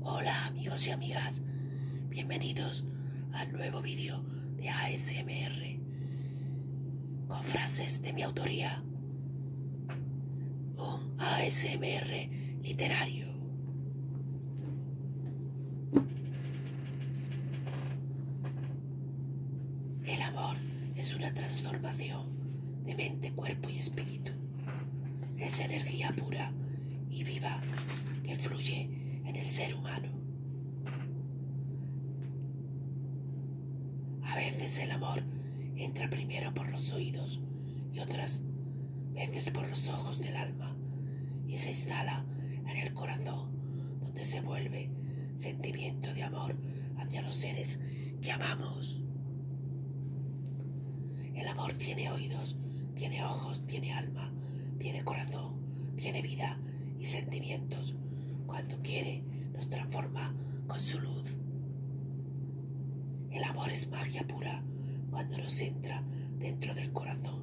Hola amigos y amigas, bienvenidos al nuevo vídeo de ASMR con frases de mi autoría. Un ASMR literario. El amor es una transformación de mente, cuerpo y espíritu es energía pura y viva que fluye en el ser humano. A veces el amor entra primero por los oídos y otras veces por los ojos del alma y se instala en el corazón donde se vuelve sentimiento de amor hacia los seres que amamos. El amor tiene oídos, tiene ojos, tiene alma, tiene corazón, tiene vida y sentimientos. Cuando quiere, nos transforma con su luz. El amor es magia pura cuando nos entra dentro del corazón.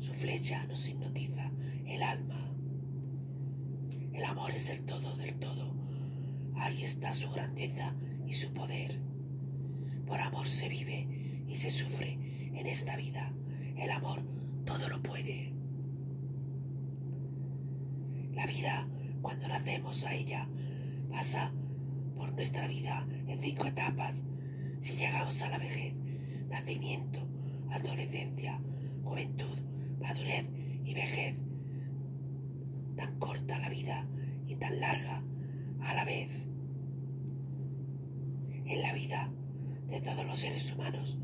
Su flecha nos hipnotiza el alma. El amor es del todo, del todo. Ahí está su grandeza y su poder. Por amor se vive y se sufre en esta vida. El amor todo lo puede. La vida, cuando nacemos a ella, pasa por nuestra vida en cinco etapas. Si llegamos a la vejez, nacimiento, adolescencia, juventud, madurez y vejez, tan corta la vida y tan larga a la vez. En la vida de todos los seres humanos,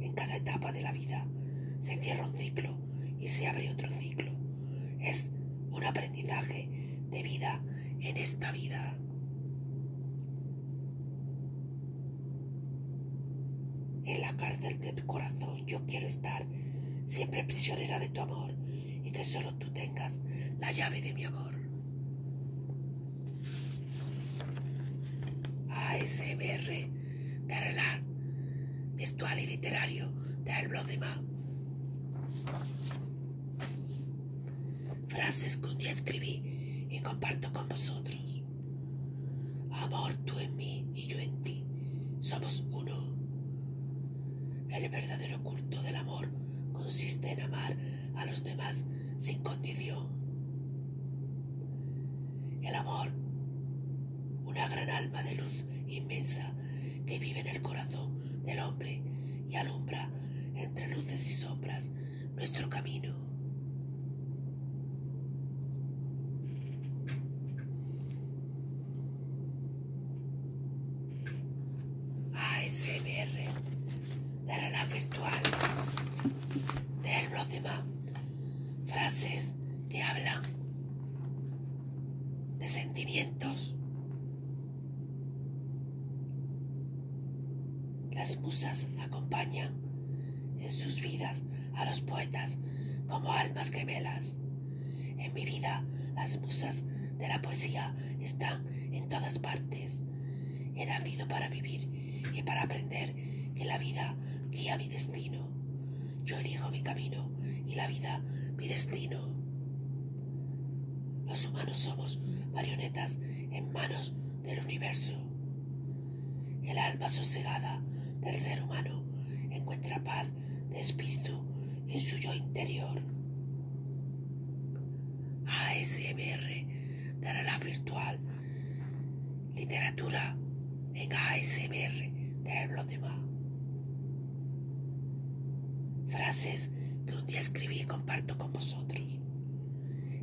en cada etapa de la vida, se cierra un ciclo y se abre otro ciclo. Es un aprendizaje de vida en esta vida. En la cárcel de tu corazón yo quiero estar, siempre prisionera de tu amor y que solo tú tengas la llave de mi amor. ASMR de Arrelar, virtual y literario del blog de Ma. Frases que un día escribí y comparto con vosotros. Amor tú en mí y yo en ti. Somos uno. El verdadero culto del amor consiste en amar a los demás sin condición. El amor, una gran alma de luz inmensa que vive en el corazón del hombre y alumbra entre luces y sombras nuestro camino. ASMR de la virtual de los frases que hablan de sentimientos las musas acompañan en sus vidas a los poetas como almas gemelas en mi vida, las musas de la poesía están en todas partes. He nacido para vivir y para aprender que la vida guía mi destino. Yo elijo mi camino y la vida mi destino. Los humanos somos marionetas en manos del universo. El alma sosegada del ser humano encuentra paz de espíritu en su yo interior. ASMR de la virtual literatura en ASMR de los demás. Frases que un día escribí y comparto con vosotros.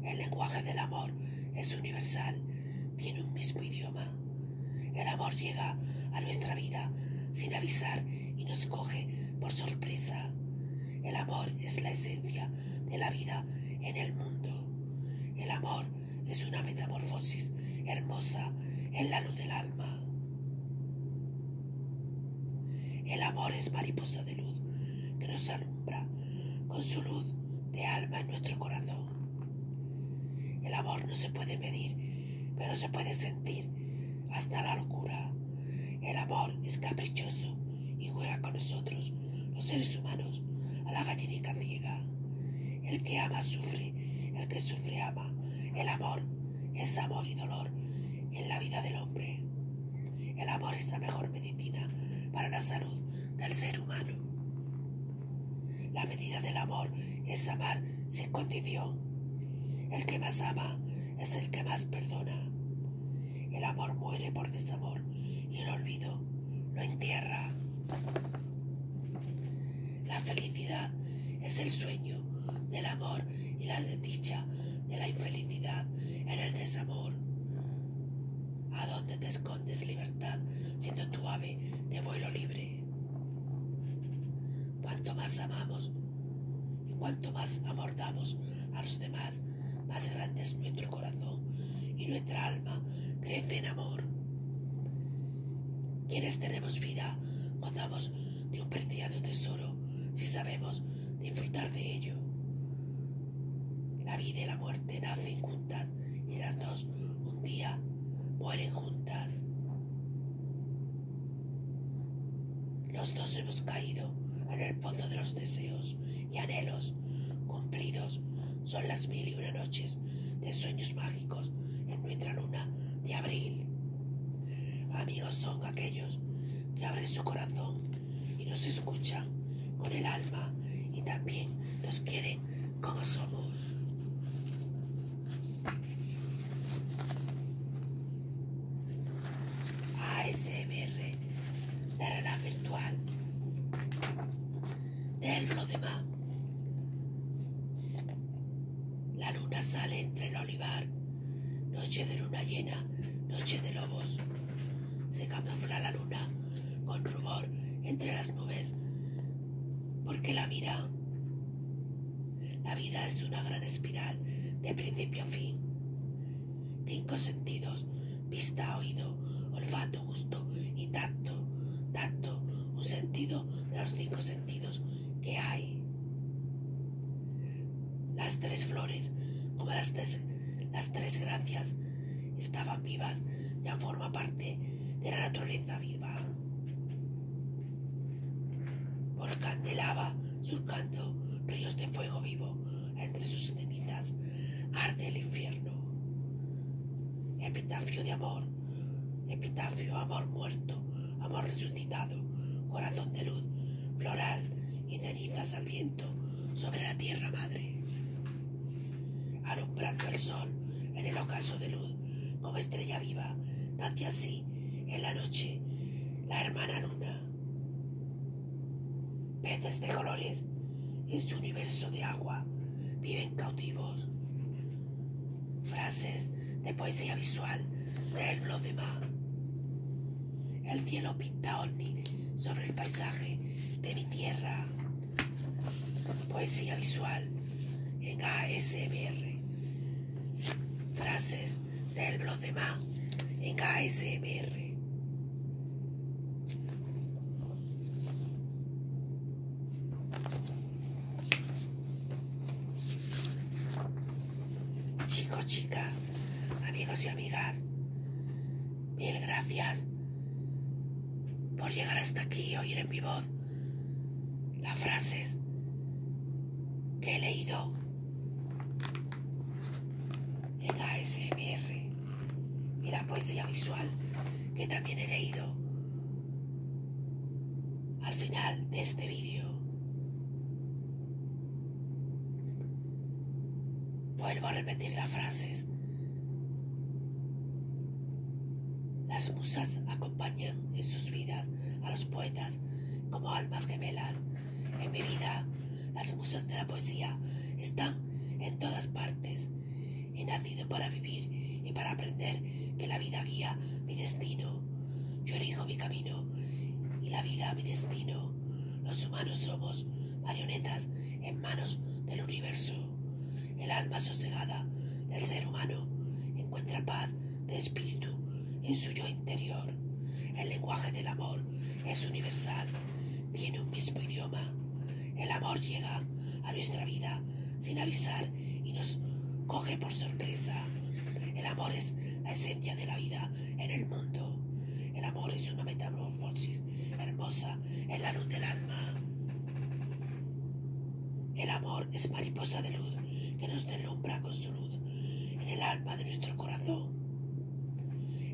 El lenguaje del amor es universal, tiene un mismo idioma el amor llega a nuestra vida sin avisar y nos coge por sorpresa. El amor es la esencia de la vida en el mundo. El amor es una metamorfosis hermosa en la luz del alma. El amor es mariposa de luz que nos alumbra con su luz de alma en nuestro corazón. El amor no se puede medir, pero se puede sentir hasta la locura. El amor es caprichoso y juega con nosotros, los seres humanos, a la gallinica ciega. El que ama sufre, el que sufre ama. El amor es amor y dolor en la vida del hombre. El amor es la mejor medicina para la salud del ser humano. La medida del amor es amar sin condición. El que más ama es el que más perdona. El amor muere por desamor y el olvido lo entierra. La felicidad es el sueño del amor y la desdicha de la infelicidad en el desamor. ¿A dónde te escondes libertad siendo tu ave de vuelo libre? Cuanto más amamos y cuanto más amor damos a los demás, más grande es nuestro corazón y nuestra alma crece en amor. Quienes tenemos vida, gozamos de un preciado tesoro si sabemos disfrutar de ello. La vida y la muerte nacen juntas y las dos un día mueren juntas. Los dos hemos caído en el pozo de los deseos y anhelos cumplidos. Son las mil y una noches de sueños mágicos en nuestra luna de abril. Amigos son aquellos que abren su corazón y nos escuchan con el alma y también nos quieren como somos. ASMR para la virtual del lo demás. La luna sale entre el olivar, noche de luna llena, noche de lobos. Se camufla la luna con rubor entre las nubes porque la vida, la vida es una gran espiral de principio a fin. Cinco sentidos, vista, oído, olfato, gusto y tacto. Tacto, un sentido de los cinco sentidos que hay. Las tres flores, como las tres, las tres gracias, estaban vivas, ya forma parte de la naturaleza viva. Volcán de lava, surcando ríos de fuego vivo, entre sus cenizas arde el infierno. Epitafio de amor, epitafio, amor muerto, amor resucitado, corazón de luz, floral y cenizas al viento sobre la tierra madre alumbrando el sol en el ocaso de luz como estrella viva, nace así en la noche la hermana luna. Peces de colores en su universo de agua viven cautivos. Frases de poesía visual del blog de mar El cielo pinta ovni sobre el paisaje de mi tierra. Poesía visual en ASMR. Frases del blog de Ma en ASMR. Chicos, chicas, amigos y amigas, mil gracias por llegar hasta aquí y oír en mi voz las frases que he leído en ASMR y la poesía visual que también he leído al final de este vídeo. Vuelvo a repetir las frases. Las musas acompañan en sus vidas a los poetas como almas gemelas. En mi vida, las musas de la poesía están en todas partes. He nacido para vivir y para aprender que la vida guía mi destino. Yo elijo mi camino y la vida mi destino. Los humanos somos marionetas en manos del universo. El alma sosegada del ser humano encuentra paz de espíritu en su yo interior. El lenguaje del amor es universal, tiene un mismo idioma. El amor llega a nuestra vida sin avisar y nos coge por sorpresa. El amor es la esencia de la vida en el mundo. El amor es una metamorfosis hermosa en la luz del alma. El amor es mariposa de luz que nos deslumbra con su luz en el alma de nuestro corazón.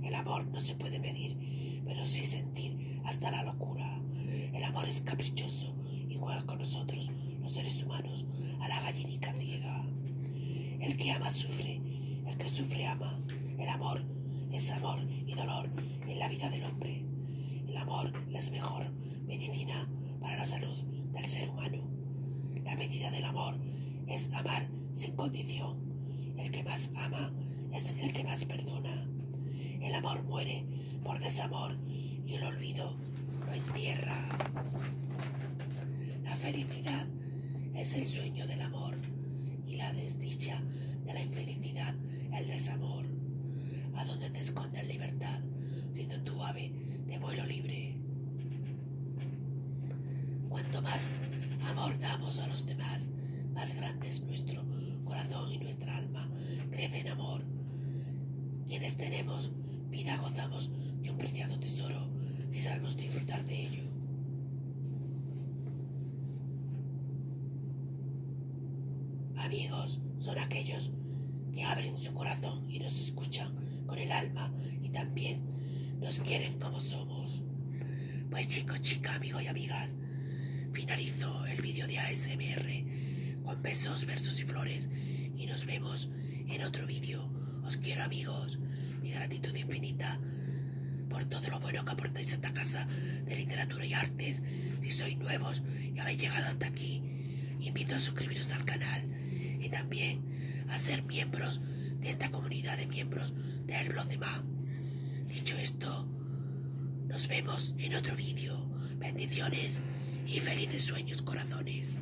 El amor no se puede medir, pero sí sentir hasta la locura. El amor es caprichoso, igual con nosotros, los seres humanos, a la gallinica ciega. El que ama sufre, el que sufre ama. El amor es amor y dolor en la vida del hombre. El amor es mejor medicina para la salud del ser humano. La medida del amor es amar sin condición. El que más ama es el que más perdona. El amor muere por desamor y el olvido lo entierra. La felicidad es el sueño del amor y la desdicha de la infelicidad el desamor. ¿A dónde te la libertad, siendo tu ave de vuelo libre? Cuanto más amor damos a los demás, más grandes nuestro corazón y nuestra alma crece en amor. Quienes tenemos vida gozamos de un preciado tesoro si sabemos disfrutar de ello. Amigos son aquellos que abren su corazón y nos escuchan con el alma y también nos quieren como somos. Pues chicos, chicas, amigos y amigas, finalizo el vídeo de ASMR con besos, versos y flores y nos vemos en otro vídeo. Os quiero amigos, mi gratitud infinita por todo lo bueno que aportáis a esta casa de literatura y artes. Si sois nuevos y habéis llegado hasta aquí, invito a suscribiros al canal y también a ser miembros de esta comunidad de miembros del blog de Ma. Dicho esto, nos vemos en otro vídeo. Bendiciones y felices sueños, corazones.